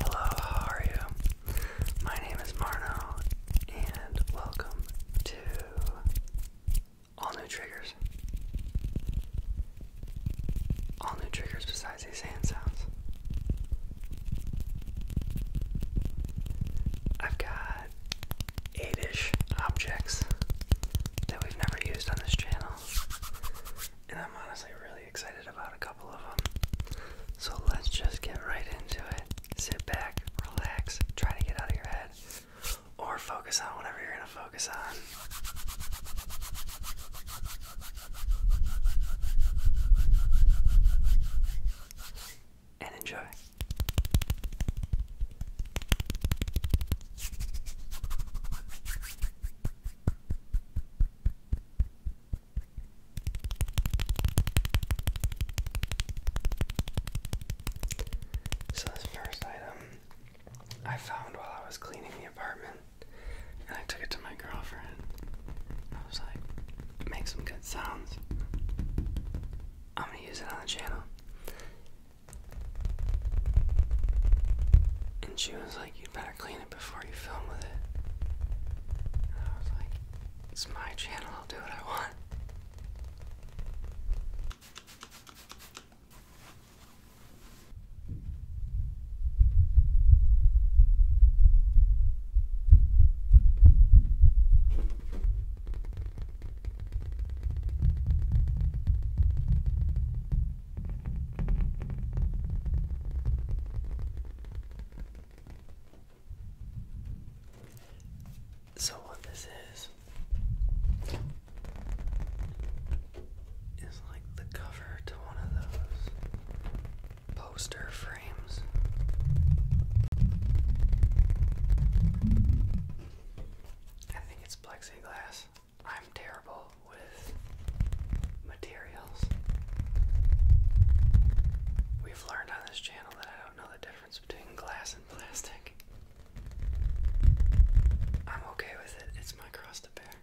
Hello, how are you? My name is Marno, and welcome to All New Triggers. All new triggers besides these hand sounds. I've got eight ish objects that we've never used on this channel, and I'm honestly really excited about a couple of them. So let's just get right into it. Sit back, relax, try to get out of your head, or focus on whatever you're going to focus on and enjoy. So, this first item I found while I was cleaning the apartment and I took it to my girlfriend. I was like, make some good sounds. I'm gonna use it on the channel. And she was like, you'd better clean it before you film with it. And I was like, it's my channel, I'll do what I want. So, what this is is like the cover to one of those poster frames. I think it's plexiglass. I'm terrible with materials. We've learned on this channel that I don't know the difference between glass and plastic. I'm okay with it, it's my cross to bear. I am a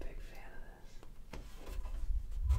big fan of this. I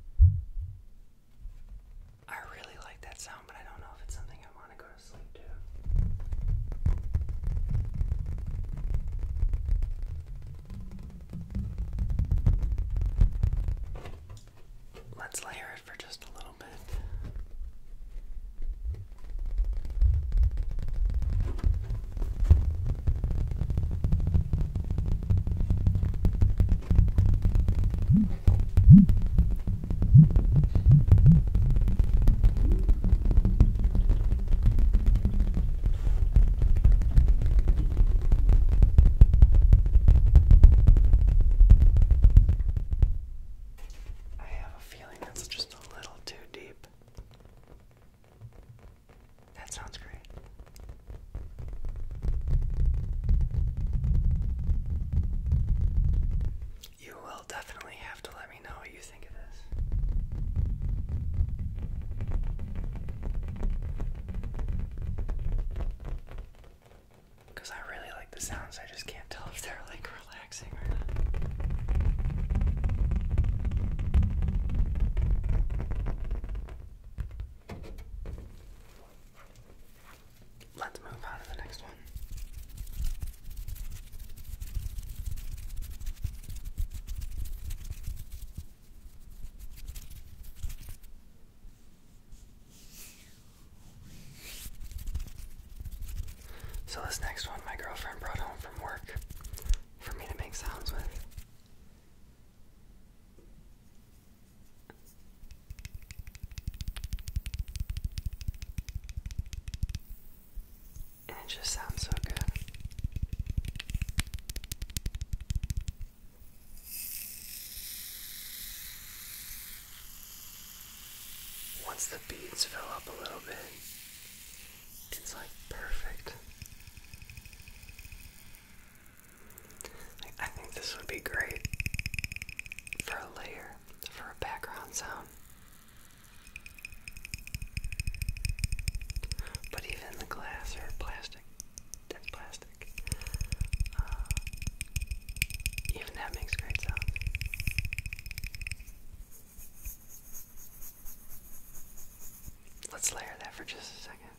I really like that sound, but I don't know if it's something I want to go to sleep to. Let's layer it for just a little bit. I have a feeling that's just a little too deep. That sounds great. You will definitely have to let me know what you think of this. Because I really like the sounds, I just can't tell if they're like relaxing or not. Let's move on to the next one. So, this next one my girlfriend brought home from work for me to make sounds with it just sounds so good. Once the beads fill up a little bit, it's like perfect. I think this would be great for a layer, for a background sound. But even the glass or plastic, dead plastic, uh, even that makes great sound. Let's layer that for just a second.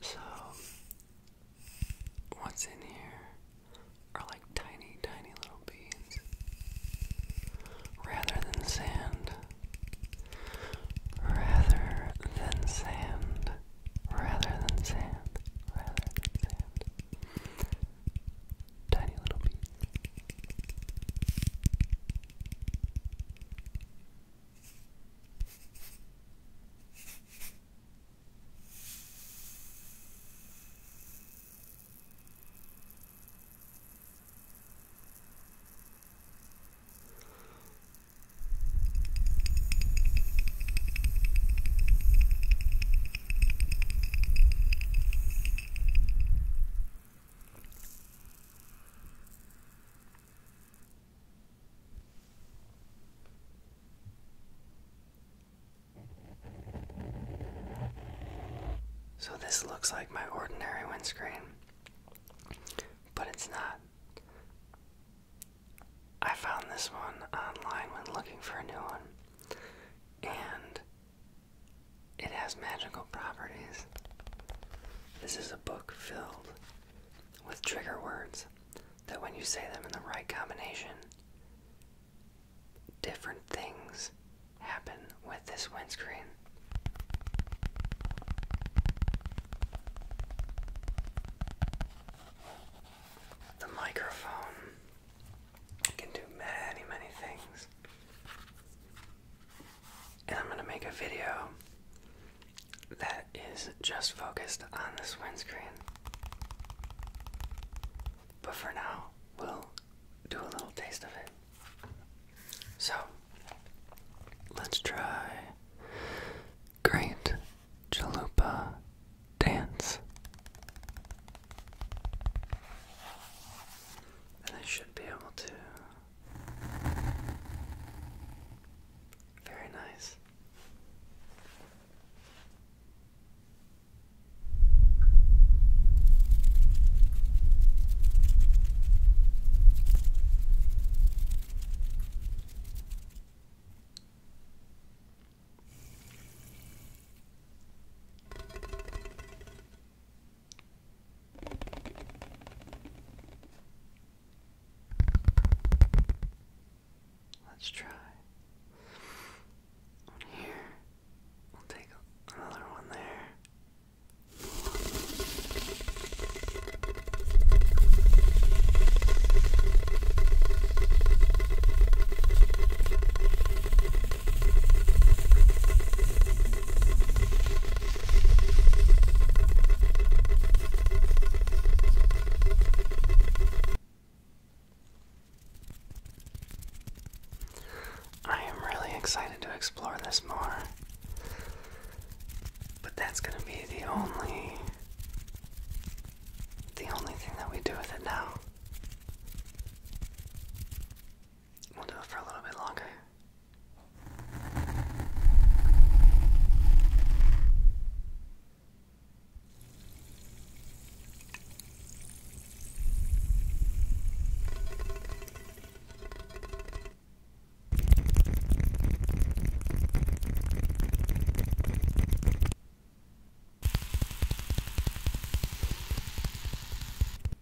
So, what's in here are like tiny, tiny little beads rather than sand, rather than sand, rather than sand, rather than sand tiny little bit. Good. So, this looks like my ordinary windscreen, but it's not. I found this one online when looking for a new one, and it has magical properties. This is a book filled with trigger words that, when you say them in the right combination, different things happen with this windscreen. The microphone can do many, many things. And I'm going to make a video that is just focused on this windscreen. But for now, we'll do a little taste of it. So, let's try Great Chalupa Dance. And I should be able to. Very nice. Let's try here. We'll take another one there. I am really excited to explore this more. But that's going to be the only the only thing that we do with it now. We'll do it for a little bit longer.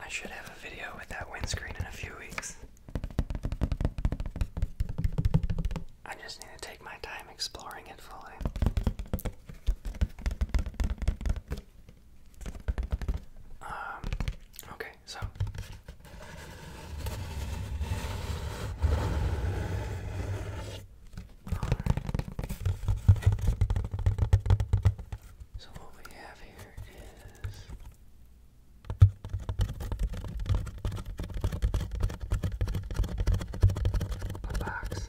I should have a video with that windscreen in a few weeks. I just need to take my time exploring it fully. Um, okay, so. So what we have here is a box.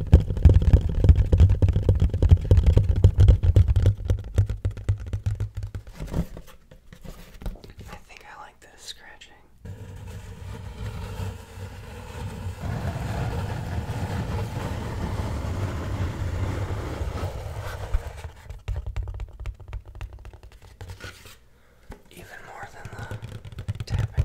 I think I like this scratching. Even more than the tapping.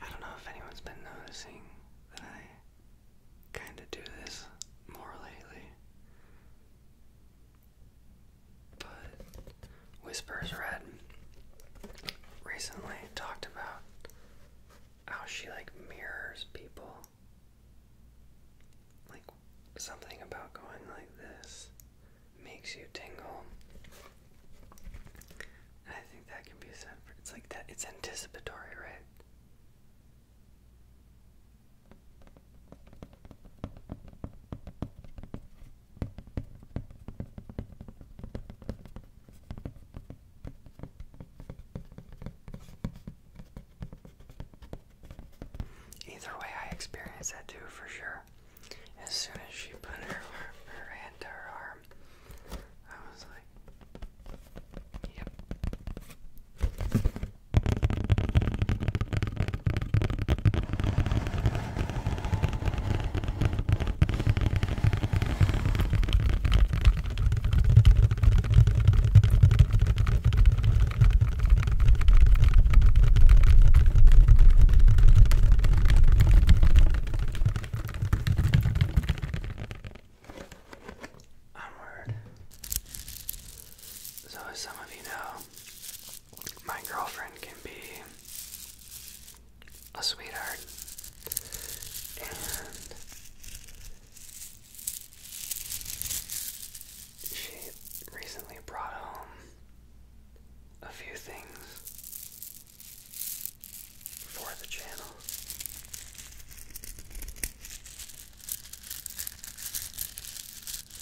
I don't know if anyone's been noticing that I kind of do this more lately. But Whispers Red recently talked about how she like mirrors people like something about going like this makes you tingle. I think that can be said it's like that it's anticipatory, right? Either way, I experienced that too for sure. As soon as she put her, her hand to her arm, I was like, yep. Onward. So, as some of you know, my girlfriend can be a sweetheart, she recently brought home a few things for the channel.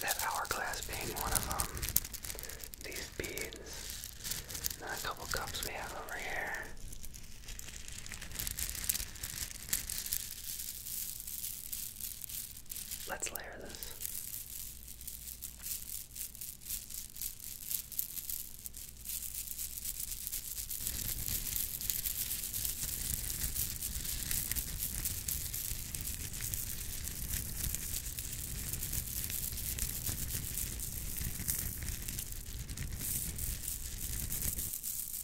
That hourglass being one of them. These beads. And a couple cups we have over here. Let's layer this.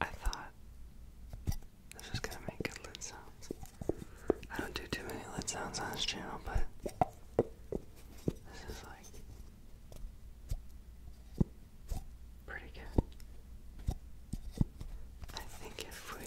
I thought this was gonna make good lid sounds. I don't do too many lid sounds on this channel, but this is like pretty good. I think if we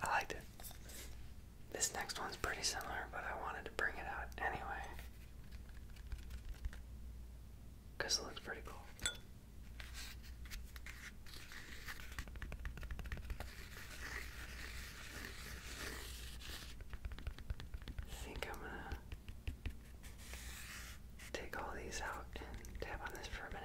I liked it. This next one's pretty similar, but I wanted to bring it out anyway. Because it looks pretty cool. I think I'm gonna take all these out and tap on this for a minute.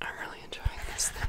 I'm really enjoying this thing.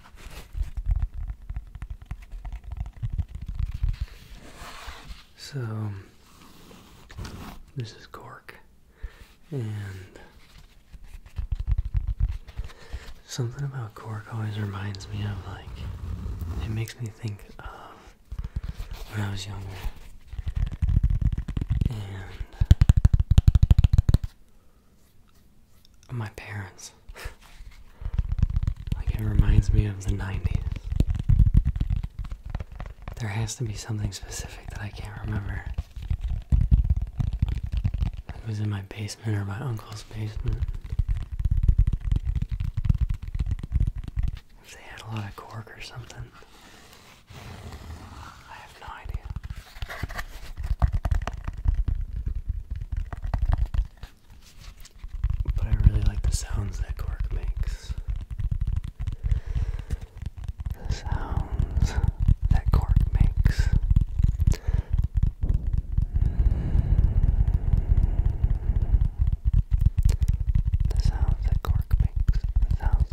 So, this is cork, and something about cork always reminds me of like, it makes me think of when I was younger. And my parents. like, it reminds me of the 90s. There has to be something specific that I can't remember. It was in my basement or my uncle's basement. If they had a lot of cork or something. I have no idea. But I really like the sounds that cork makes. The sounds that cork makes. The sounds that cork makes. sounds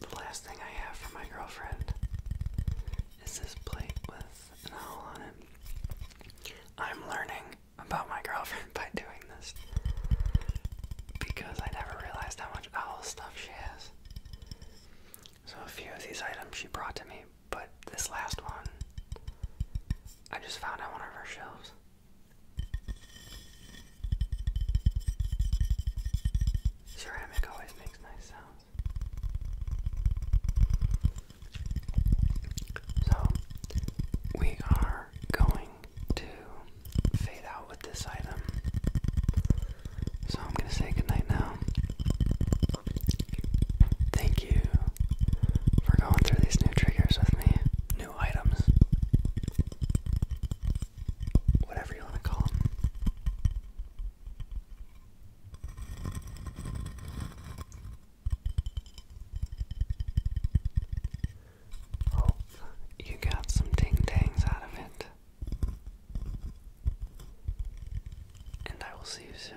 The last thing I have for my girlfriend is this plate with an owl on it. I'm learning about my girlfriend by doing this because I never realized how much owl stuff she has. So a few of these items she brought to me, but this last one I just found on one of her shelves. Ceramic always makes nice sounds. So, we are going to fade out with this item. So, I'm going to say goodnight now. Thank you for going through these new triggers with me. Whatever you want to call them. Hope oh, you got some ding tangs out of it. And I will see you soon.